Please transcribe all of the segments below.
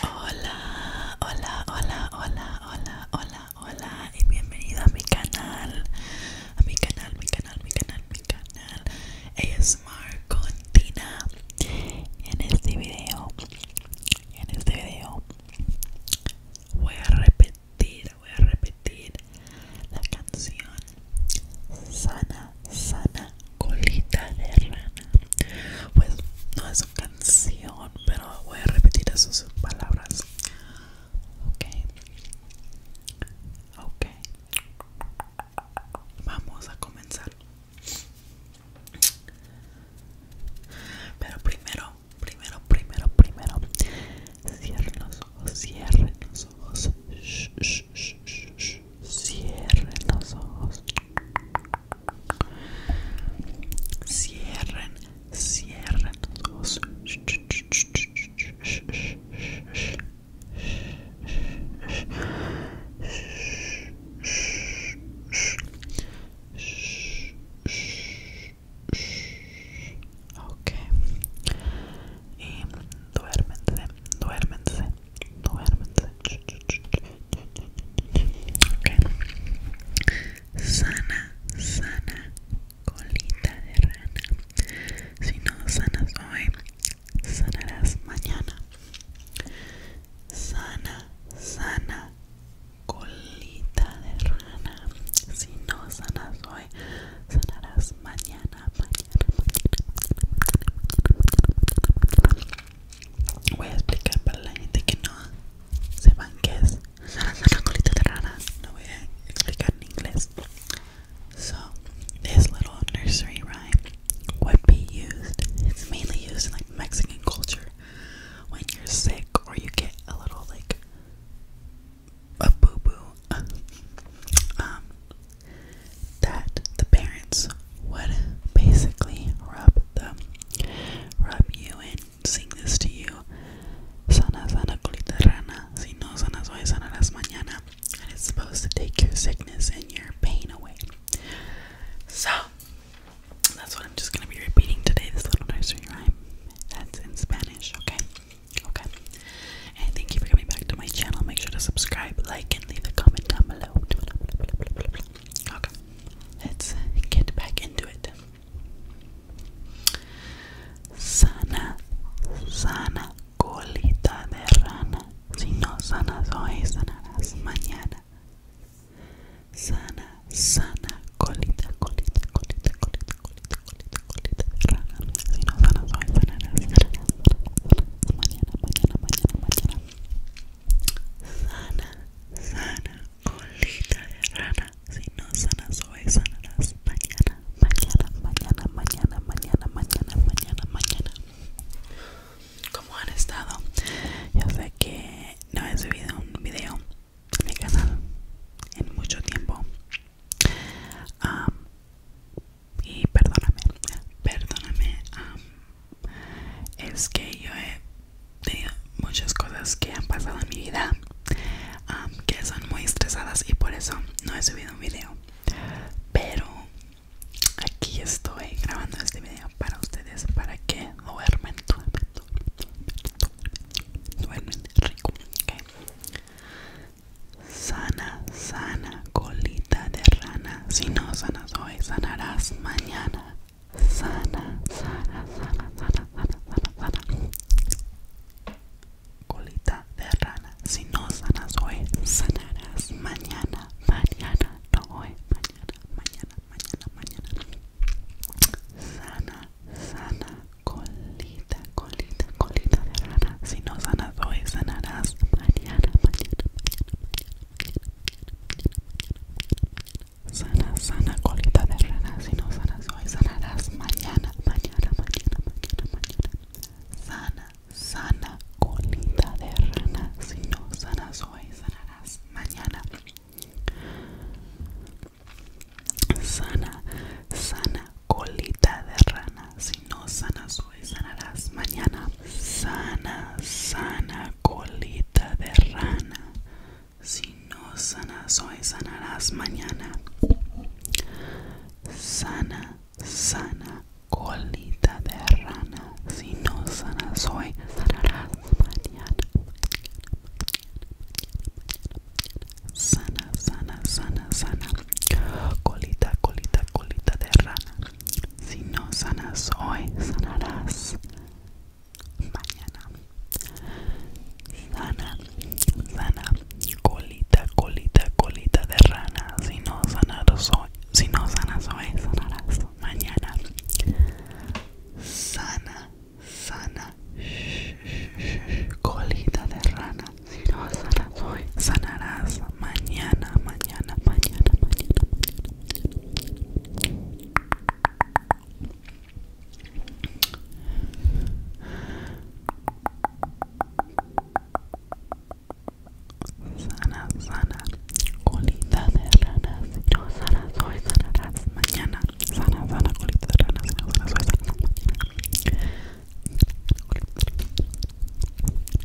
Hola, hola, hola, hola, hola, hola, hola y bienvenido a mi canal, a mi canal, mi canal, mi canal, mi canal ASMR con Tina En este video, en este video voy a repetir, voy a repetir la canción Sana, sana, colita de rana Pues no es un pero voy a repetir esas palabras. Ok. Vamos a comenzar. Pero primero, primero, primero, primero. Cierren los ojos, cierren los ojos. Shh, Cierren los ojos. Cierren, cierren los Okay. Y duérmense, duérmense, duérmense. Sana, sana, colita de rana. Si no sanas hoy, sanarás mañana. Sana, sana, colita de rana. Si no sanas hoy, sanarás mañana. Voy a explicar para la gente que So, this little nursery rhyme would be used. It's mainly used in like Mexican culture when you're sick or you get a little like a boo boo. Um, that the parents would basically rub them, rub you in, sing this to you. Sana sana colita rana, si no sanas hoy sanarás mañana. And it's supposed to take your sickness and your pain away. So, that's what I'm just going to be repeating today, this little nursery rhyme. That's in Spanish, okay? Okay. And thank you for coming back to my channel. Make sure to subscribe, like, and leave a comment down below. Okay, let's get back into it. Sana, sana colita de rana. Si no sanas hoy, sanarás mañana. Sana, sana colita, colita, colita, colita, colita, colita, colita de rana. Si no sanas hoy, sanarás, sanarás, sanarás, sanarás mañana, mañana, mañana, Sana, Sana colita de rana, si no sana hoy sanarás mañana, mañana, mañana, mañana, mañana, mañana, mañana, mañana. ¿Cómo han estado? Ya sé que no he subido un video en mi canal en mucho tiempo. y perdóname, perdóname es que yo he tenido muchas cosas que han pasado en mi vida que son muy estresadas y por eso no he subido un video pero aquí estoy grabando este video para ustedes para que duermen duermen duermen, duermen rico sana sana colita de rana si no sanas hoy sanarás mañana sana, sana, sana, sana, sana, sana, sana. Colita de rana, si no sanas hoy, sanarás mañana, mañana, no hoy, mañana, mañana, mañana, mañana. Sana, sana, colita, colita, colita de rana, si no sanas hoy, sanarás mañana, mañana, Sana, sana colita de rana, si no sanas hoy, sanarás mañana, mañana, mañana, mañana, mañana. Sana, sana colita de rana, si no sanas hoy, sanarás mañana. Sana, sana colita de rana, si no sanas hoy, sanarás mañana sana, sana colita de rana. Si no sanas hoy, sanarás mañana. Sana, sana colita de rana. Si no sanas hoy, sanarás mañana. Sana, sana, sana, sana. Colita, colita, colita de rana. Si no sanas hoy, sanarás mañana. Sana, sana, colita, colita, colita de rana. Si no sanas hoy, si no hoy, sanarás mañana. Sana, sana, colita de rana. Si no sanas hoy, sanarás mañana, mañana, mañana, mañana. Sana, sana, colita de ranas, no sana, soy sanarás mañana. Sana, sana, colita de ranas, no sana, soy mañana.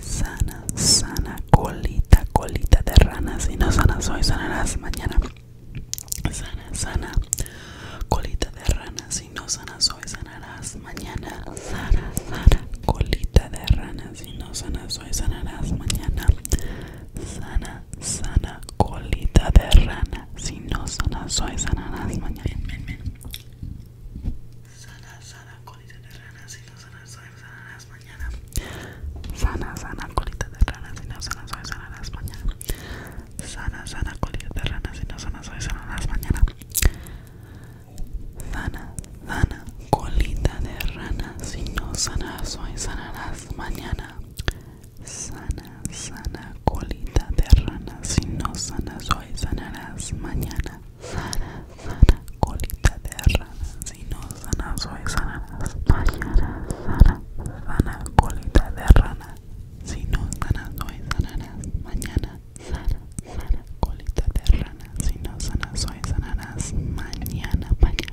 sana, sana, colita, colita de ranas, Si no sana, soy sanarás mañana. Sana, sana, colita de ranas, Si no sana soy sanarás mañana. Sana, sana, colita de ranas, Si no sanas hoy, sanarás mañana. Sana, sana, colita de rana. Si no sanas hoy, sanarás mañana. Sana, sana, colita de rana, si no sana, soy sanarás mañana. Sana, sana, colita de rana, si no sana, soy sanarás mañana. Sana, sana, colita de rana, si no sana, soy sanarás mañana. Sana, sana, colita de rana, si no sana, soy sanarás mañana. Sana, sana, colita de rana, si no sana, soy mañana. Sana, sana, colita de rana. Si no sana, soy sana. Mañana, sana, sana, colita de rana. Si no sana, soy sana. Mañana, sana, sana, colita de rana. Si no sana, soy sana. Mañana, mañana, mañana, mañana.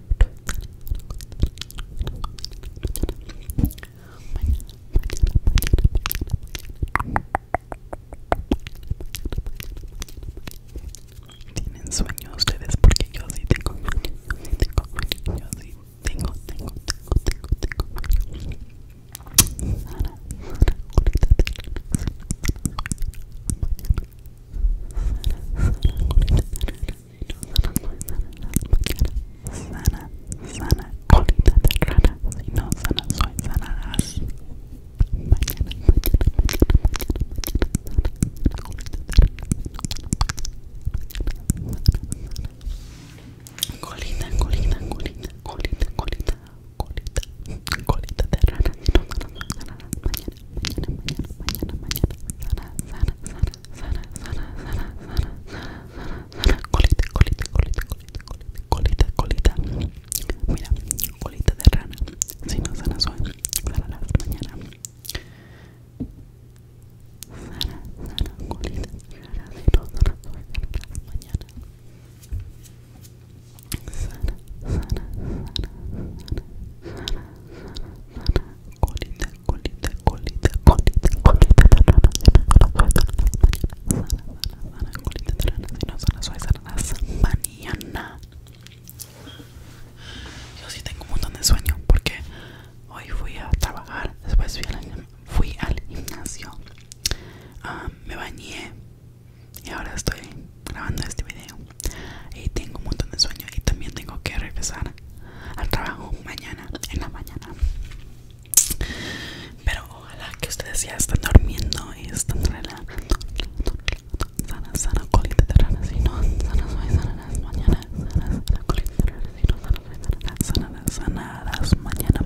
Tienen sueño ustedes porque yo sí tengo tengo tengo, tengo, tengo, tengo, si no sana, sana Sana, sana, colita no Mañana, mañana, mañana, mañana, colita, de Mañana, mañana, mañana, sana, sana, sana, sana, sana, sana, colita, colita, colita, colita, colita, colita, Mira, colita de rana. Si no Sana, sana, Sana, sana, sana, sana, sana, sana colita, colita, colita, colita, colita, colita, yo sí tengo un montón de sueño porque hoy fui a trabajar, después fui al, fui gimnasio, ah, me bañé y ahora estoy grabando este video y tengo un montón de sueño y también tengo que regresar al trabajo mañana, en la mañana. Pero ojalá que ustedes ya Estén durmiendo y estén relajando. Sana, sana colita de rana, si no, Sana, sana sanas sanas mañana.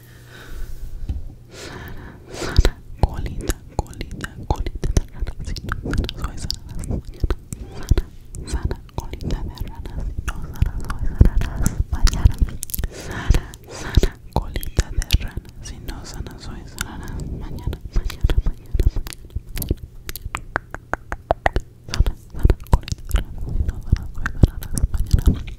Sana, colita, colita, colita de rana, si no Sara, soy sana, Sara, sana, colita de rana, si no soy sana, mañana Sana, sana, colita de rana, si no sana soy sana, mañana, mañana, mañana, mañana Sara, sana, colita de rana, si no soy sana, mañana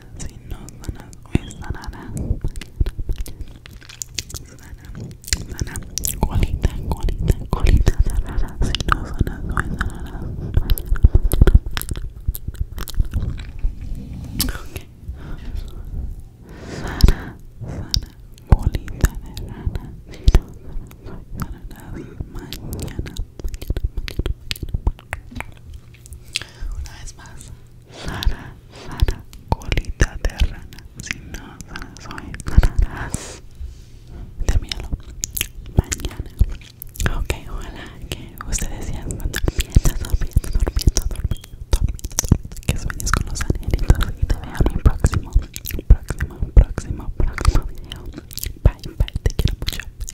si no sanas hoy sana colita colita colita si no sanas hoy sana sana colita de si no mañana una vez más Sara, Sara, colita de rana. Si no, Sara, soy Sara. De Mañana. Ok, hola, que ustedes sean durmiendo, dormiendo, durmiendo, dormiendo, dormiendo, que sueñes con los angelitos y te veo en mi próximo, próximo, próximo, próximo video. Bye, bye, te quiero mucho.